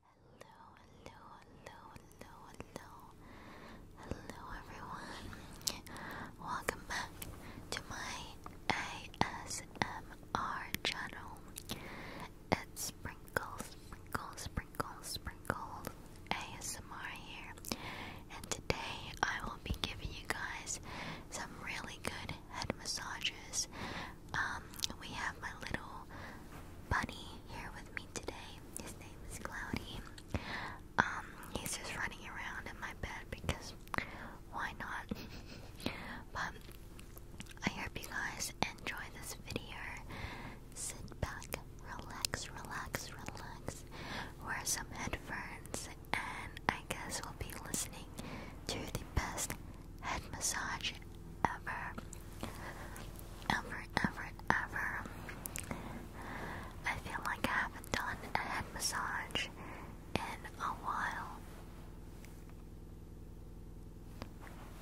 hello, hello, hello, hello, hello everyone. Welcome back to my ASMR channel. Sprinkle, Sprinkle, Sprinkle, Sprinkle ASMR here. And today I will be giving you guys some really good head massages um, we have my little bunny here with me today. His name is Cloudy. Um, he's just running around in my bed because why not? but I hope you guys enjoy this video. Sit back, relax, relax, relax. Wear some headphones, and I guess we'll be listening to the best head massage ever. Ever, ever, ever. I feel like I haven't done a head massage in a while.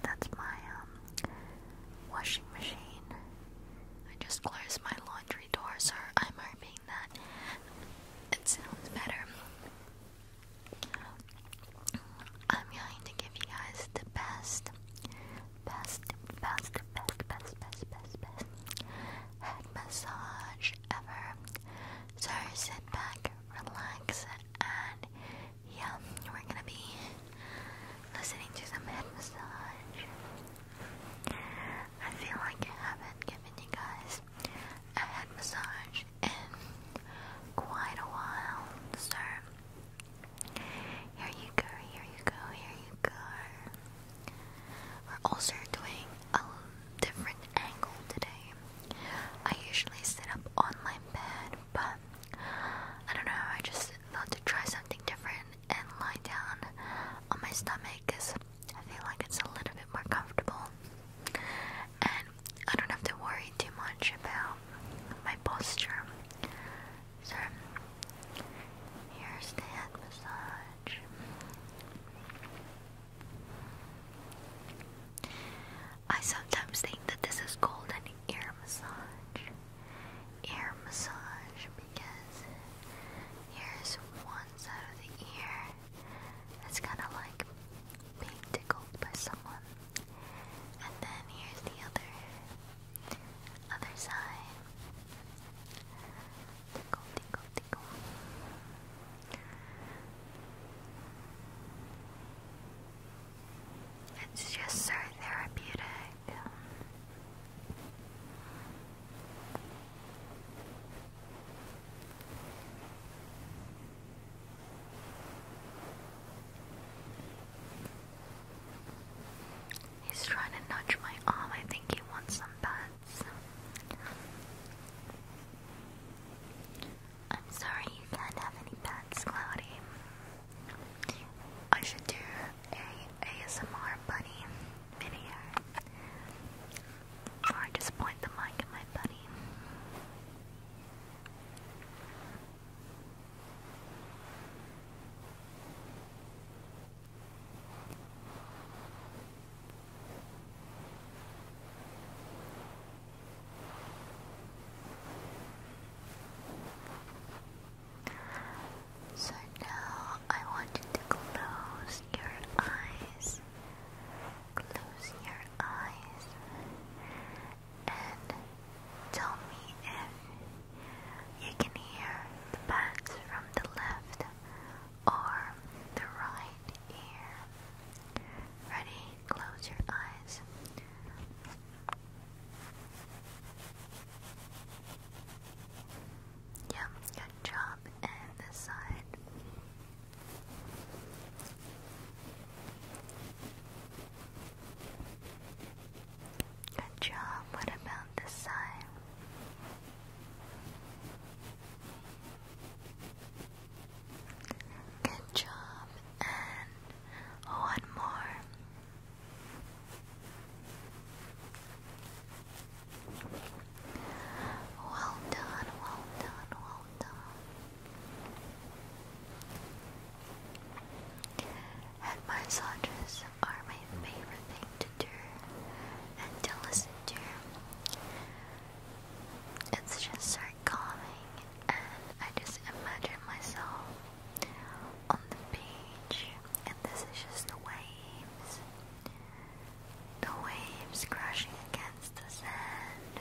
That's my um washing machine. I just closed my laundry door, so I'm hoping that it sounds better. I'm going to give you guys the best, best, best, best, best, best, best, head massage ever. So sit back, relax, and yeah, we're gonna be listening to some head massage. I feel like I haven't given you guys a head massage in quite a while, so here you go, here you go, here you go. We're also doing a different angle today. I usually sit up on my bed, but I don't know, I just thought to try something different and lie down on my stomach because I feel like it's a little bit more comfortable and I don't have to worry too much about my posture. So, here's the massage. I sometimes think that this is called an ear massage. Ear massage because here's one side of the ear that's kind of like being tickled by someone. And then here's the other other side. It's just so therapeutic. He's trying to nudge my arm. I think he wants some pets. I'm sorry you can't have any pets, Cloudy. I should do a ASMR bunny video. Or just point the mic at my bunny. So now I want you to close your eyes. Close your eyes and tell me if you can hear the bats from the left or the right ear. Ready? Close your eyes. Yeah, good job. And this side. Good job. What about this side? Good job. And one more. Well done, well done, well done. Head massages are my favorite thing to do and to listen to. It's just so calming, and I just imagine myself on the beach, and this is just the waves the waves crashing against the sand.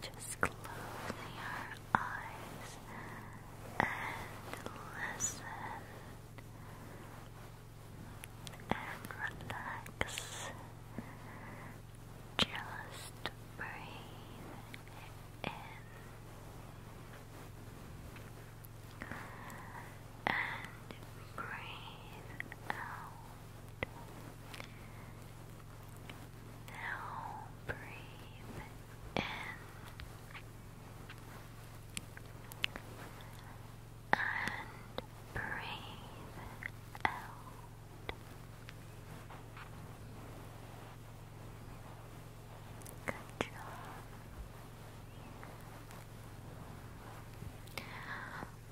Just closing your eyes and listen and relax. Just breathe in and breathe out. Now breathe in and breathe out. Good job.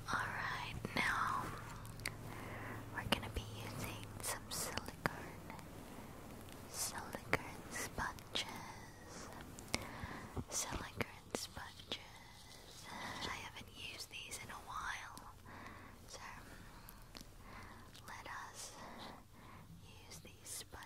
Alright, now we're going to be using some silicone, silicone sponges, silicone sponges. I haven't used these in a while, so let us use these sponges.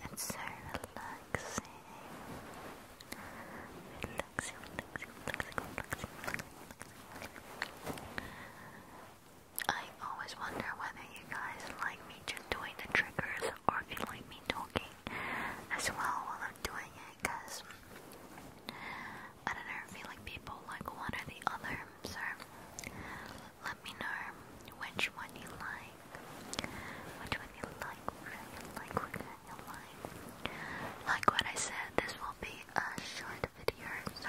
How's that? I feel like it's so relaxing. I always wonder whether you guys like me just doing the triggers or if you like me talking as well while I'm doing it because I don't know, if you like people like one or the other, so let me know Which one you like, which one you like, which one you like. Like what I said, this will be a short video, so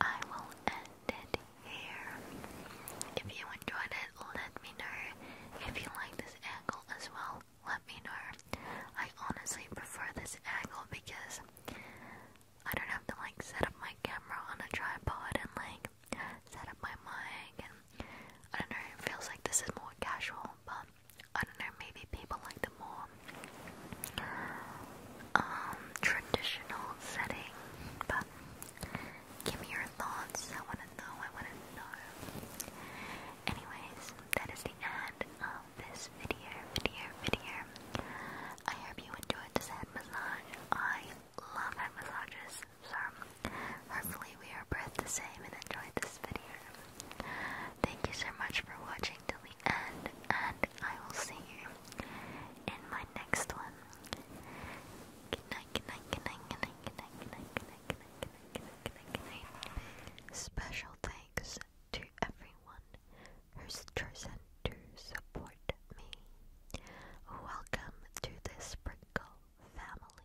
I will end it here. If you enjoyed it, let me know. If you like this angle as well, let me know. I honestly prefer this angle because I don't have to like set up my camera on a tripod and like set up my mic and I don't know, it feels like this is more casual, but I don't know, maybe people like the more um, traditional setting, but give me your thoughts. I wanna know, I wanna know. Anyways, that is the end of this video, video, video. I hope you enjoyed this head massage. I love head massages so Hopefully we are both the same and enjoyed this video. Thank you so much for watching till the end and I will see you in my next one. Special thanks to everyone who's chosen to support me. Welcome to this sprinkle family.